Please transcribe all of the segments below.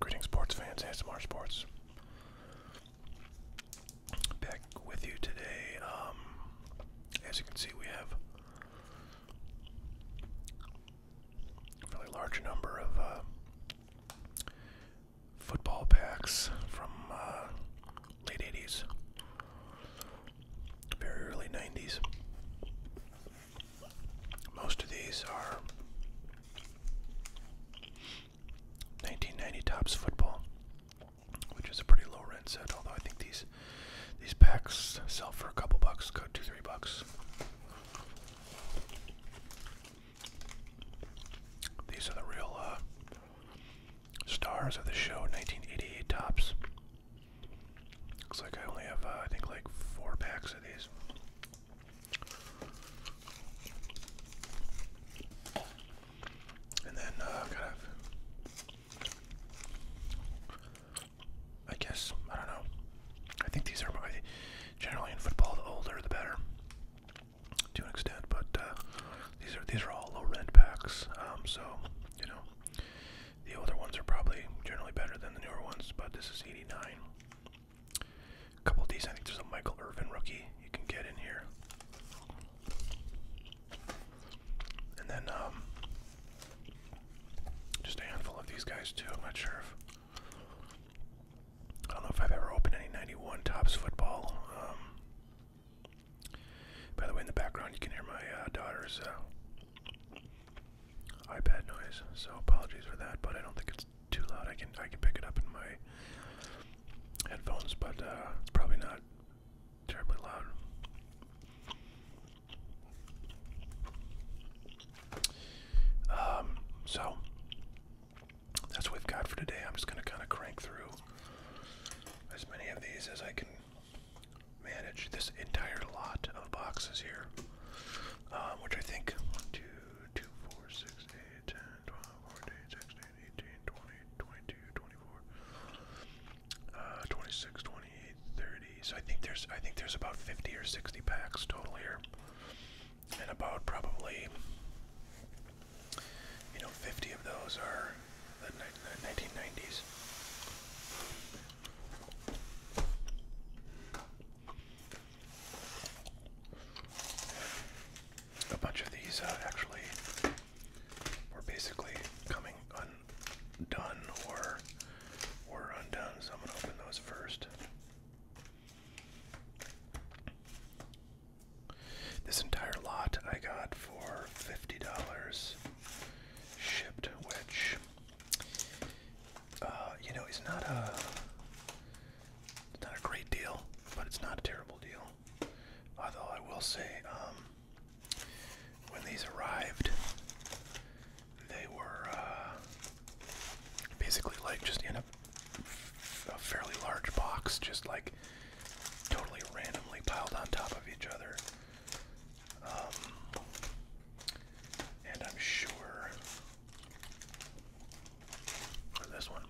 Greetings, sports fans. ASMR Sports. Back with you today. Um, as you can see, we have a fairly large number of uh, football packs from uh, late 80s, very early 90s. Most of these are 1990 tops football, which is a pretty low end set. Although I think these these packs sell for a couple bucks, go two three bucks. These are the real uh, stars of the show, 1988 tops. Looks like I only have, uh, I think, like four packs of these. And then, uh, kind of, I guess, I don't know. I think these are generally in football, the older the better to an extent, but uh, these are these are all low rent packs. Um, so you know, the older ones are probably generally better than the newer ones. But this is '89. A couple of these, I think there's a Michael Irvin rookie you can get in here. And then um, just a handful of these guys too. I'm not sure I don't know if I've ever opened any 91 Tops football. Um, by the way, in the background, you can hear my uh, daughter's uh, iPad noise, so apologies for that, but I don't think it's too loud. I can, I can pick it up in my headphones, but uh, it's probably not terribly loud. Um, so that's what we've got for today. I'm just going to kind of crank through as many of these as I can manage this entire lot of boxes here, um, which I think 1, 2, 4, 6, 8, 10, 12, 14, 16, 18, 20, 22, 24, uh, 26, 28, 30. So I think there's I think there's about 50 or 60 packs total here and about probably you know 50 of those are the 1990s a bunch of these uh, actually were basically coming undone or were undone so i'm going to open those first this entire lot I got for $50 shipped, which, uh, you know, is not a, it's not a great deal, but it's not a terrible deal. Although I will say, um, when these arrived, they were uh, basically like just in a, fairly large box, just like totally randomly piled on top of each other. Um, and I'm sure this one.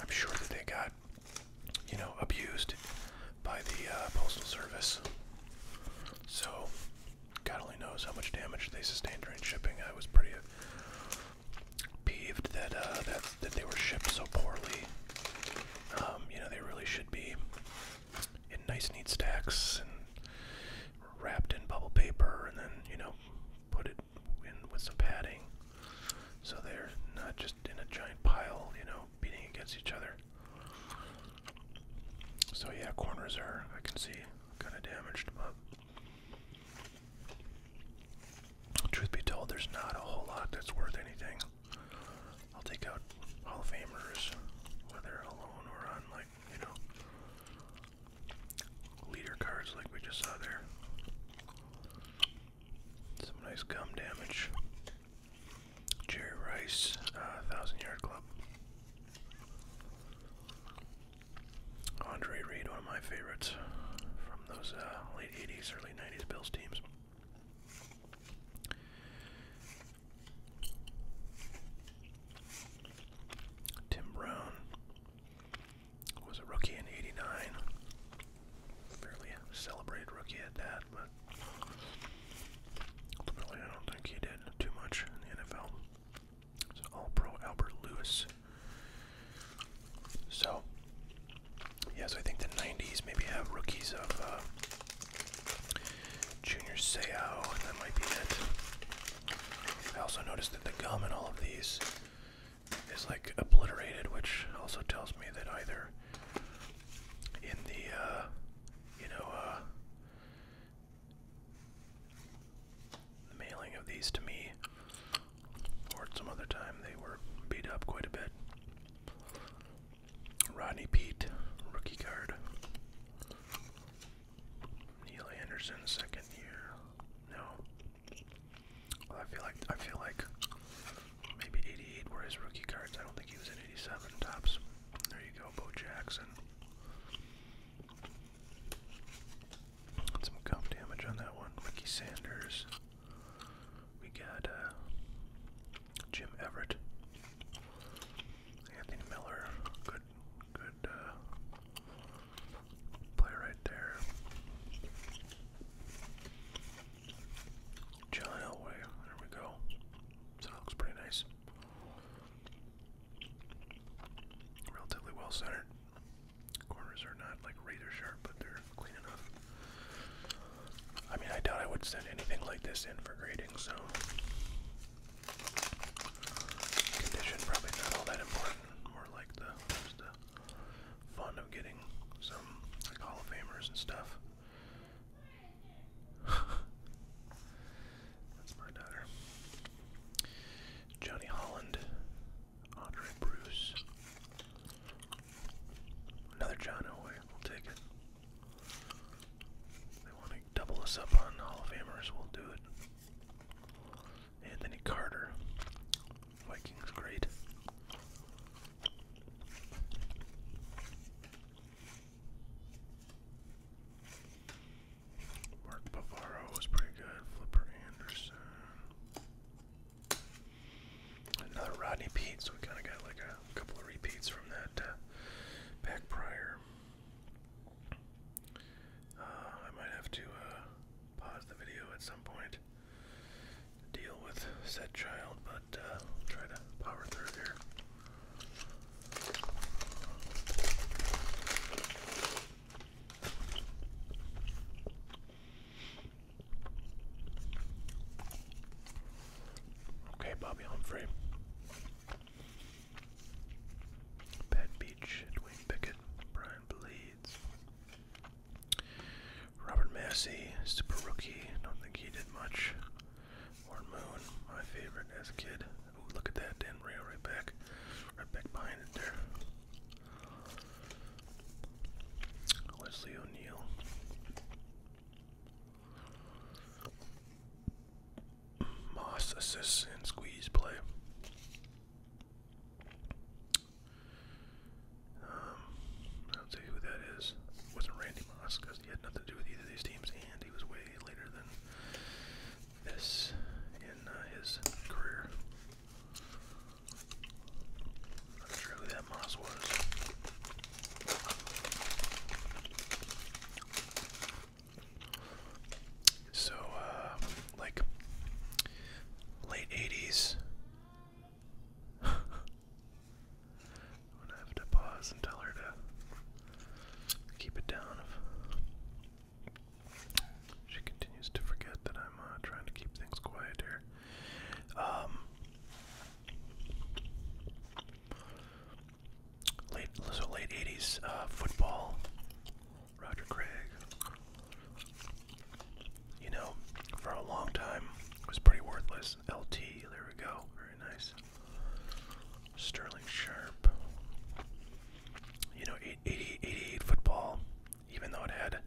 I'm sure that they got, you know, abused by the uh, Postal Service. So, God only knows how much damage they sustained during shipping. I was pretty uh, peeved that uh, that that they were shipped so poorly. Um, you know, they really should be in nice, neat stacks and wrapped in bubble paper, and then you know put it in with some padding so they're not just in a giant pile, you know, beating against each other. So yeah, corners are, I can see, kind of damaged, but truth be told, there's not a whole lot that's worth anything. I'll take out Hall of Famers, whether alone or on, like, you know, leader cards like we just saw there. Some nice gum damage. Jerry Rice, uh, Thousand Yard Club. Andre Reed, one of my favorites from those uh, late 80s, early 90s Bills teams. Tim Brown, was a rookie in '89. Fairly celebrated rookie at that, but ultimately I don't think he did too much in the NFL. So all pro Albert Lewis. So yeah, so I think the '90s maybe have rookies of uh, Junior Seau, and that might be it. I also noticed that the gum in all of these is like obliterated, which also tells me that either in the uh, you know uh, the mailing of these to me, or at some other time, they were beat up quite a bit. Rodney Pete, rookie card. Neil Anderson, second year. No. I feel like I feel like maybe 88 were his rookie cards. I don't think he was in 87 tops. There you go, Bo Jackson. Some gum damage on that one. Ricky Sanders. We got uh, Jim Everett. Anthony Miller. Good good uh, play right there. John Elway, there we go. So pretty nice. Relatively well centered. Corners are not like razor sharp, but they're clean enough. I mean, I doubt I would send anything like this in for grading, so. Condition probably not all that important more like the fun of getting some Hall of Famers and stuff. That's my daughter. Johnny Holland, Andre Bruce. Another John Elway, we'll take it. they want to double us up on Hall of Famers, we'll do it. Anthony Carter. Vikings great. Mark Bavaro was pretty good. Flipper Anderson. Another Rodney Pete, so we kind of got like a couple of repeats from that uh, back prior. Uh, I might have to uh, pause the video at some point to deal with said child, but uh, try to power through here. Okay, Bobby Humphrey. Pat Beach, Dwayne Pickett, Brian Bleeds, Robert Massey, super rookie. Don't think he did much. Warren Moon, my favorite as a kid. Ooh, look at that damn rail right back, right back behind it there. Leslie O'Neill. Moss assists and squeeze play. Um, I don't say who that is. It wasn't Randy Moss because he had nothing to do with either of these teams, and he was way later than this in uh, his career. Not sure who that Moss was. So, uh, like late 80s. I'm gonna have to pause and tell her to keep it down. If she continues to forget that I'm uh, trying to keep things quiet here. Um, late, so late 80s uh, football Roger Craig. You know, for a long time, was pretty worthless. LT, there we go. Very nice. Sterling Sharp. You know, 88, football, even though it had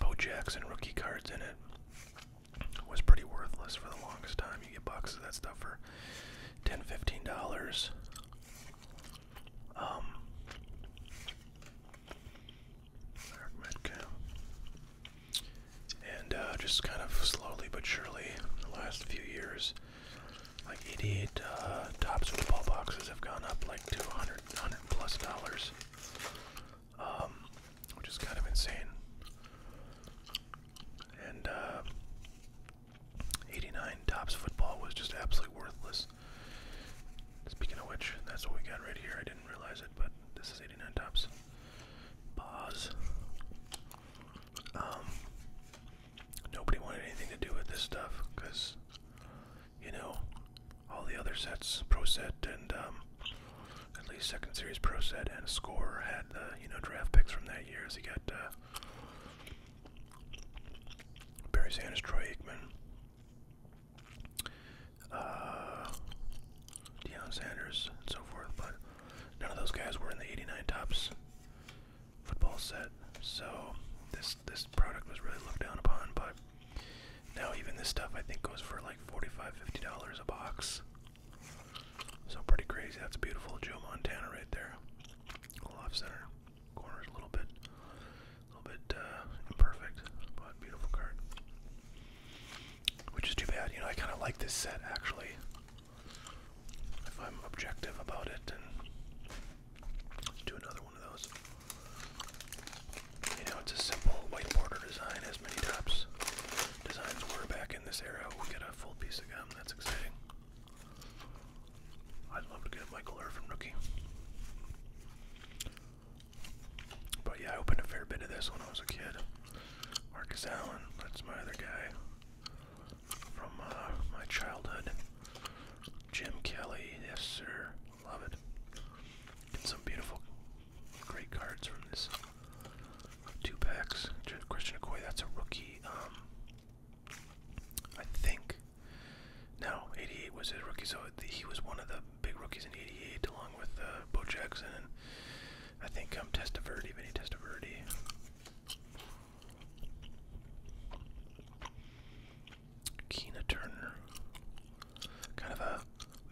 Bo Jackson rookie cards in it, was pretty worthless for the longest time. You get boxes of that stuff for 10 dollars um, and uh, just kind of slowly but surely, the last few years, like 88 uh, tops football boxes have gone up like 200, 100 plus dollars, um, which is kind of insane. And uh, 89 tops football was just absolutely worthless. Speaking of which, that's what we got right here. I didn't realize it, but this is 89 tops. Pause. Um, nobody wanted anything to do with this stuff because, you know, all the other sets, pro set and um, at least second series pro set and score had you know draft picks from that year. So you got uh, Barry Sanders, Troy Aikman, uh, Deion Sanders, and so forth. But none of those guys were in the '89 Tops football set, so this this product was really looked down upon. But now even this stuff I think goes for like $45, $50 a box. So pretty crazy. That's beautiful Joe Montana right there off center. Corner's a little bit, a little bit uh, imperfect, but beautiful card. Which is too bad. You know, I kind of like this set actually. If I'm objective about it, and let's do another one of those. You know, it's a simple white border design, as many tops designs were back in this era. We'll get a full piece of gum. That's exciting. I'd love to get Michael Irvin rookie. But yeah, I opened a fair bit of this when I was a kid. Marcus Allen, that's my other guy from uh, my childhood. Jim Kelly, yes sir, love it. Get some beautiful, great cards from this. Two packs. Christian Okoye, that's a rookie. Um, I think. No, 88 was his rookie, so he was one of the big rookies in 88 along with uh, Bo Jackson and I think um, Testaverde, Vinny Testaverde. Keena Turner. Kind of a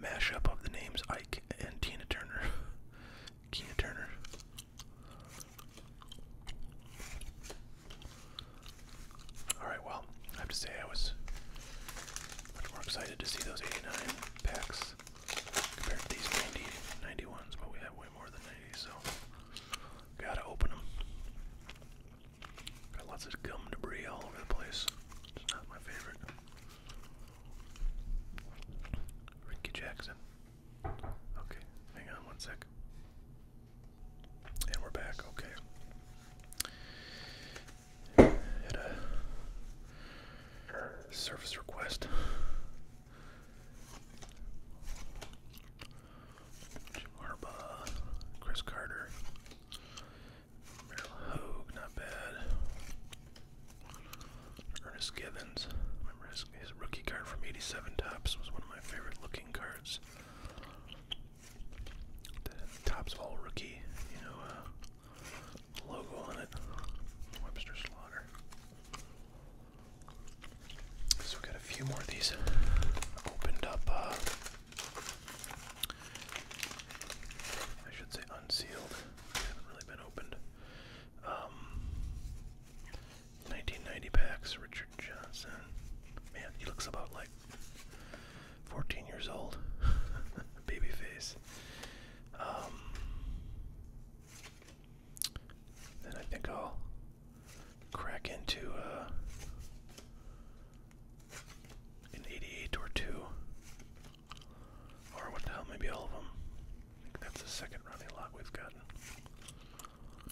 mashup of the names Ike and Tina Turner. Tina Turner. Alright, well, I have to say I was much more excited to see those 89 packs compared to these 90, 91s, but we have way more than 90, so gotta open them. Got lots of gum debris all over the place. It's not my favorite. Ricky Jackson. Okay, hang on one And we're back, okay. service request. Jim Harbaugh, Chris Carter, Merrill Hogue, not bad. Ernest Givens. Remember his, rookie card from 87 Tops was one of my favorite looking cards. The Tops All Rookie, you know, uh, logo on it. Webster Slaughter. So we got a few more of these opened up. Uh, I should say unsealed. haven't really been opened. Um, 1990 packs, Richard Johnson. Man, he looks about like 14 years old. Baby face. Um, then I think I'll crack into uh, an 88 or two. Or what the hell, maybe all of them. That's the second running lot we've gotten.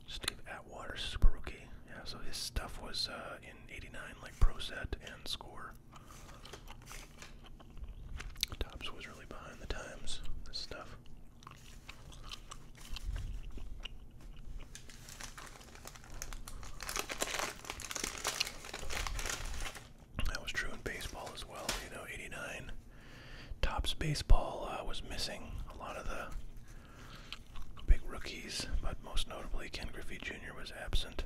Steve Atwater, super rookie. Yeah, so his stuff was uh, in 89, like pro set and score. Tops was really behind the times, this stuff. That was true in baseball as well, you know, 89. Topps baseball uh, was missing a lot of the big rookies, but most notably Ken Griffey Jr. was absent,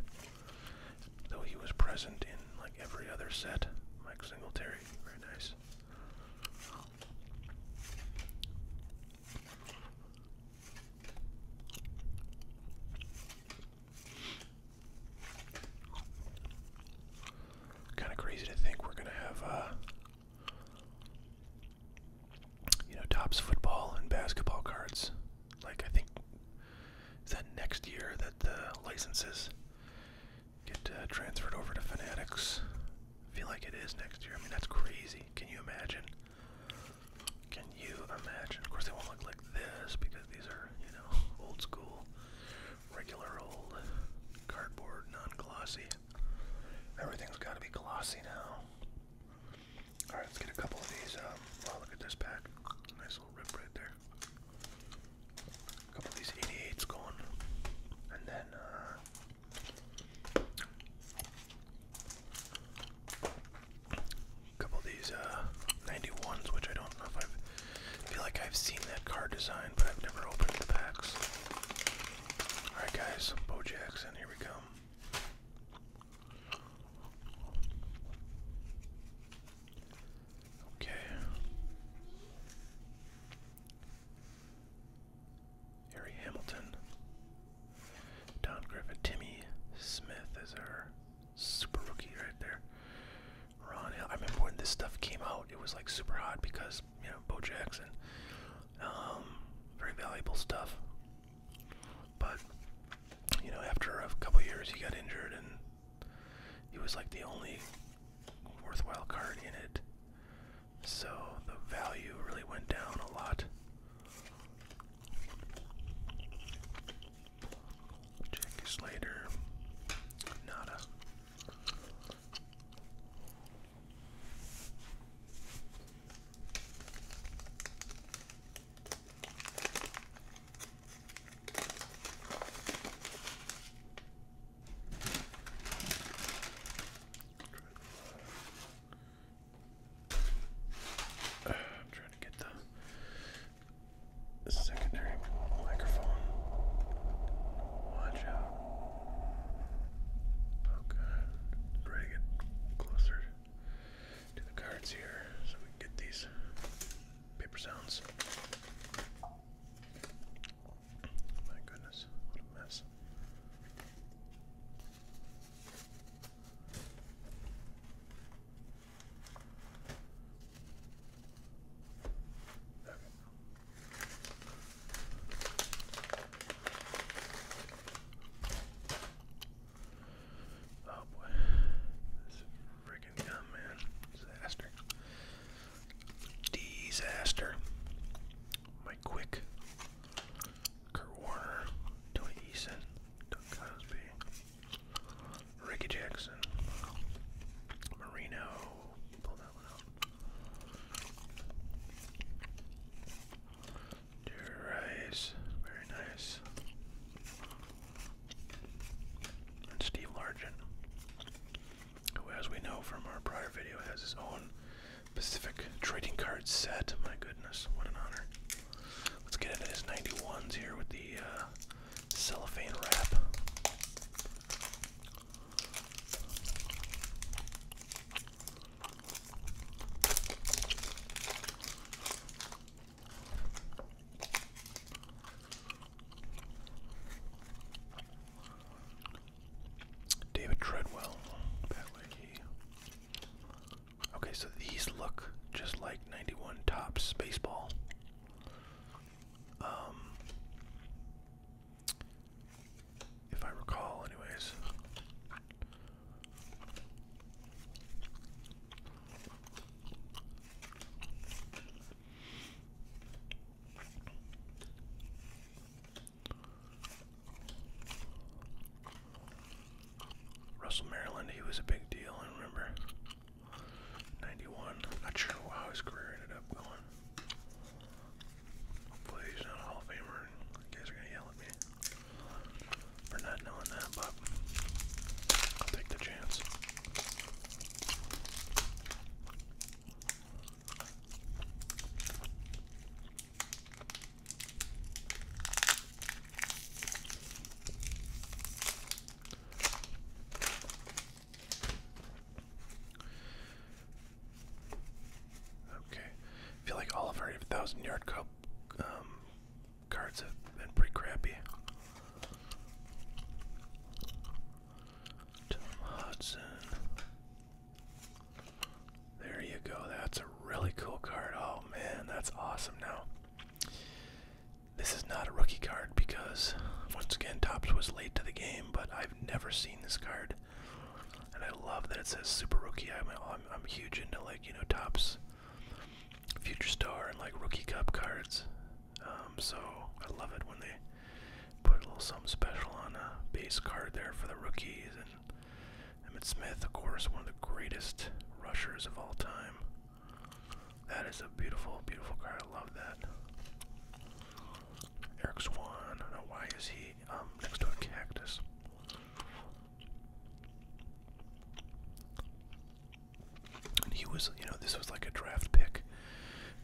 though he was present in like every other set. Mike Singletary, very nice. Kind of crazy to think we're gonna have, uh, you know, tops football and basketball cards. Like I think is that next year that the licenses get uh, transferred over to Fanatics. I feel like it is next year. I mean, that's crazy. Can you imagine? Can you imagine? Of course, they won't look like this because these are, you know, old school regular old cardboard, non-glossy. Everything's got to be glossy now. All right, let's get a couple of these. wow, um, oh, look at this pack. Nice little rip right there. A couple of these 88s going, and then. a uh, couple of these 91s, uh, which I don't know if I've I feel like I've seen that card design, but I've never opened the packs. Alright guys, Bo Jackson, here we go. Okay. Harry Hamilton. Don Griffith. Timmy Smith is our super rookie right there. Ron Hill. I remember when this stuff came out, it was like super hot because you know Bo Jackson. Um, very valuable stuff. But you know, after a couple years, he got injured, and he was like the only worthwhile card in it. So the value really went down a lot. Jackie Slater, nada. I'm trying to get the secondary microphone. Watch out. Okay, bring it closer to the cards here so we get these paper sounds. My goodness, what a mess. Oh boy, this is freaking dumb, man. Disaster. Disaster. My quick. Kurt Warner, Tony Eason, Doug Cosby. Ricky Jackson, Marino. Pull very nice. And Steve Largent, who, as we know from our prior video, has his own Pacific trading card set. My goodness, what an honor! Let's get into his 91s here with the uh, cellophane wrap. David Treadwell, Okay, so these look just like 91 Tops Baseball. Um, if I recall, anyways. Russell Maryland, he was a big deal, I remember. 91. Not sure how his career ended up going. Hopefully he's not a Hall of Famer. guys are gonna yell at me for not knowing that, but I'll take the chance. Okay, I feel like all of our 1,000 yard cup um, cards have been pretty crappy. Tom Hudson. There you go. That's a really cool card. Oh man, that's awesome now. This is not a rookie card because, once again, Tops was late to the game, but I've never seen this card. And I love that it says Super Rookie. I'm, I'm, huge into, like, you know, Tops, Future Star, and, like, Rookie Cup cards. Um, so I love it when they put a little something special on a base card there for the rookies. And Emmett Smith, of course, one of the greatest rushers of all time. That is a beautiful, beautiful card. I love that. Eric Swan. I don't know why is he um, next to a cactus. he was, you know, this was like a draft pick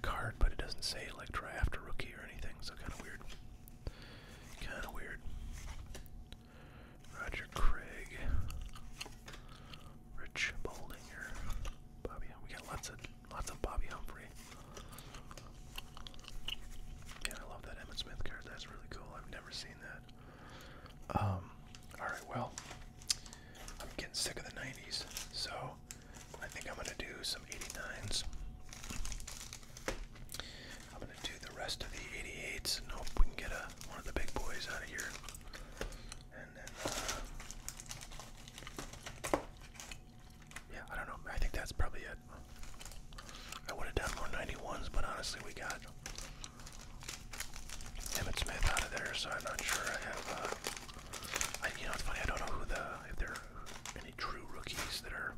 card, but it doesn't say like draft or rookie or anything, so kind of weird. Kind of weird. Roger Craig. Rich Boldinger. Bobby we got lots of lots of Bobby Humphrey. Yeah, I love that Emmett Smith card. That's really cool. I've never seen that. Um, alright, well, I'm getting sick of the 90s, so I think I'm gonna do some 89s. I'm gonna do the rest of the 88s and hope we can get a, one of the big boys out of here. Um, yeah, I don't know. I think that's probably it. I would have done more 91s, but honestly, we got Emmett Smith out of there, so I'm not sure I have. Uh, you know, it's funny. I don't know who the if there are any true rookies that are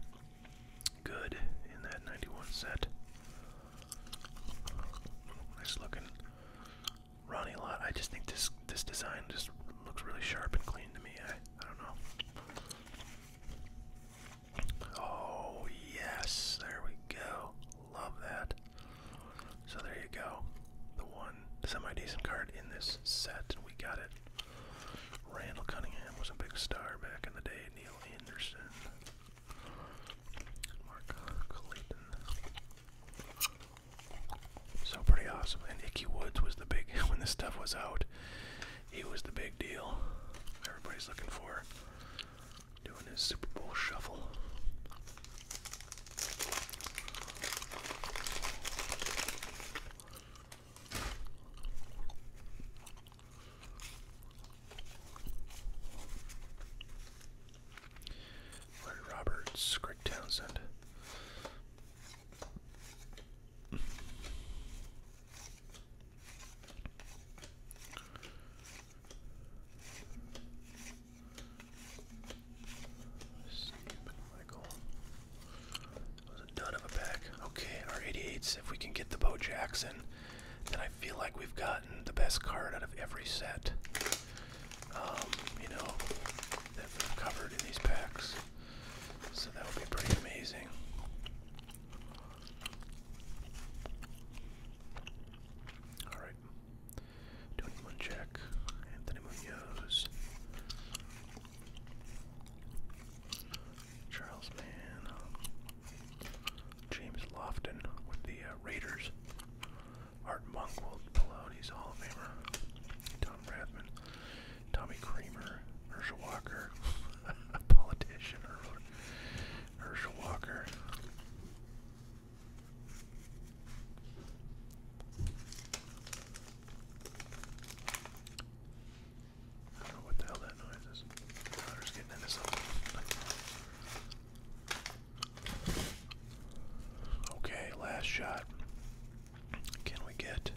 good in that 91 set. Nice looking Ronnie Lot, I just think this this design just looks really sharp and clean to me. I I don't know. Oh yes, there we go. Love that. So there you go. The one semi-decent card in this set, and we got it. Randall Cunningham was a big star back in the day. Neil Anderson. Mark Clayton. So pretty awesome. And Icky Woods was the big when this stuff was out. He was the big deal. Everybody's looking for doing his Super Bowl shuffle. Larry Roberts, Greg Townsend. Michael. That a dud of a pack. Okay, our 88s. If we can get the Bo Jackson, then I feel like we've gotten the best card out of every set um, you know, that we covered in these packs. So that would be pretty amazing. Alright. Tony Munchak, Anthony Munoz, Charles Mann, um, James Lofton with the uh, Raiders. Art Monkwell, Peloni's Hall of Famer, Tom Rathman, Tommy Kramer, Herschel Walker, a politician, Herschel Walker. I don't know what the hell that noise is. i getting into something. Okay, last shot. Can we get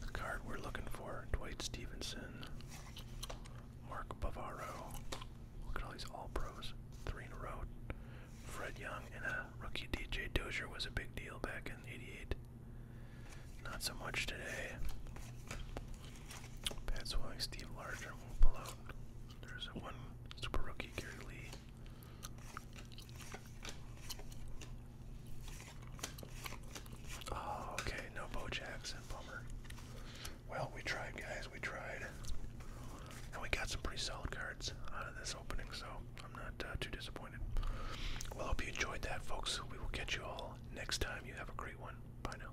the card we're looking for? Dwight Stevenson, Mark Bavaro. Look at all these All Pros, three in a row. Fred Young and a rookie DJ Dozier was a big deal back in '88. Not so much today. Pat Swilling, Steve Larger, Malone, there's one super rookie, Gary Lee. Oh, okay, no Bo Jackson, bummer. Well, we tried, guys, we tried. And we got some pretty solid cards out of this opening, so I'm not uh, too disappointed. Well, hope you enjoyed that, folks. We will catch you all next time. You have a great one. Bye now.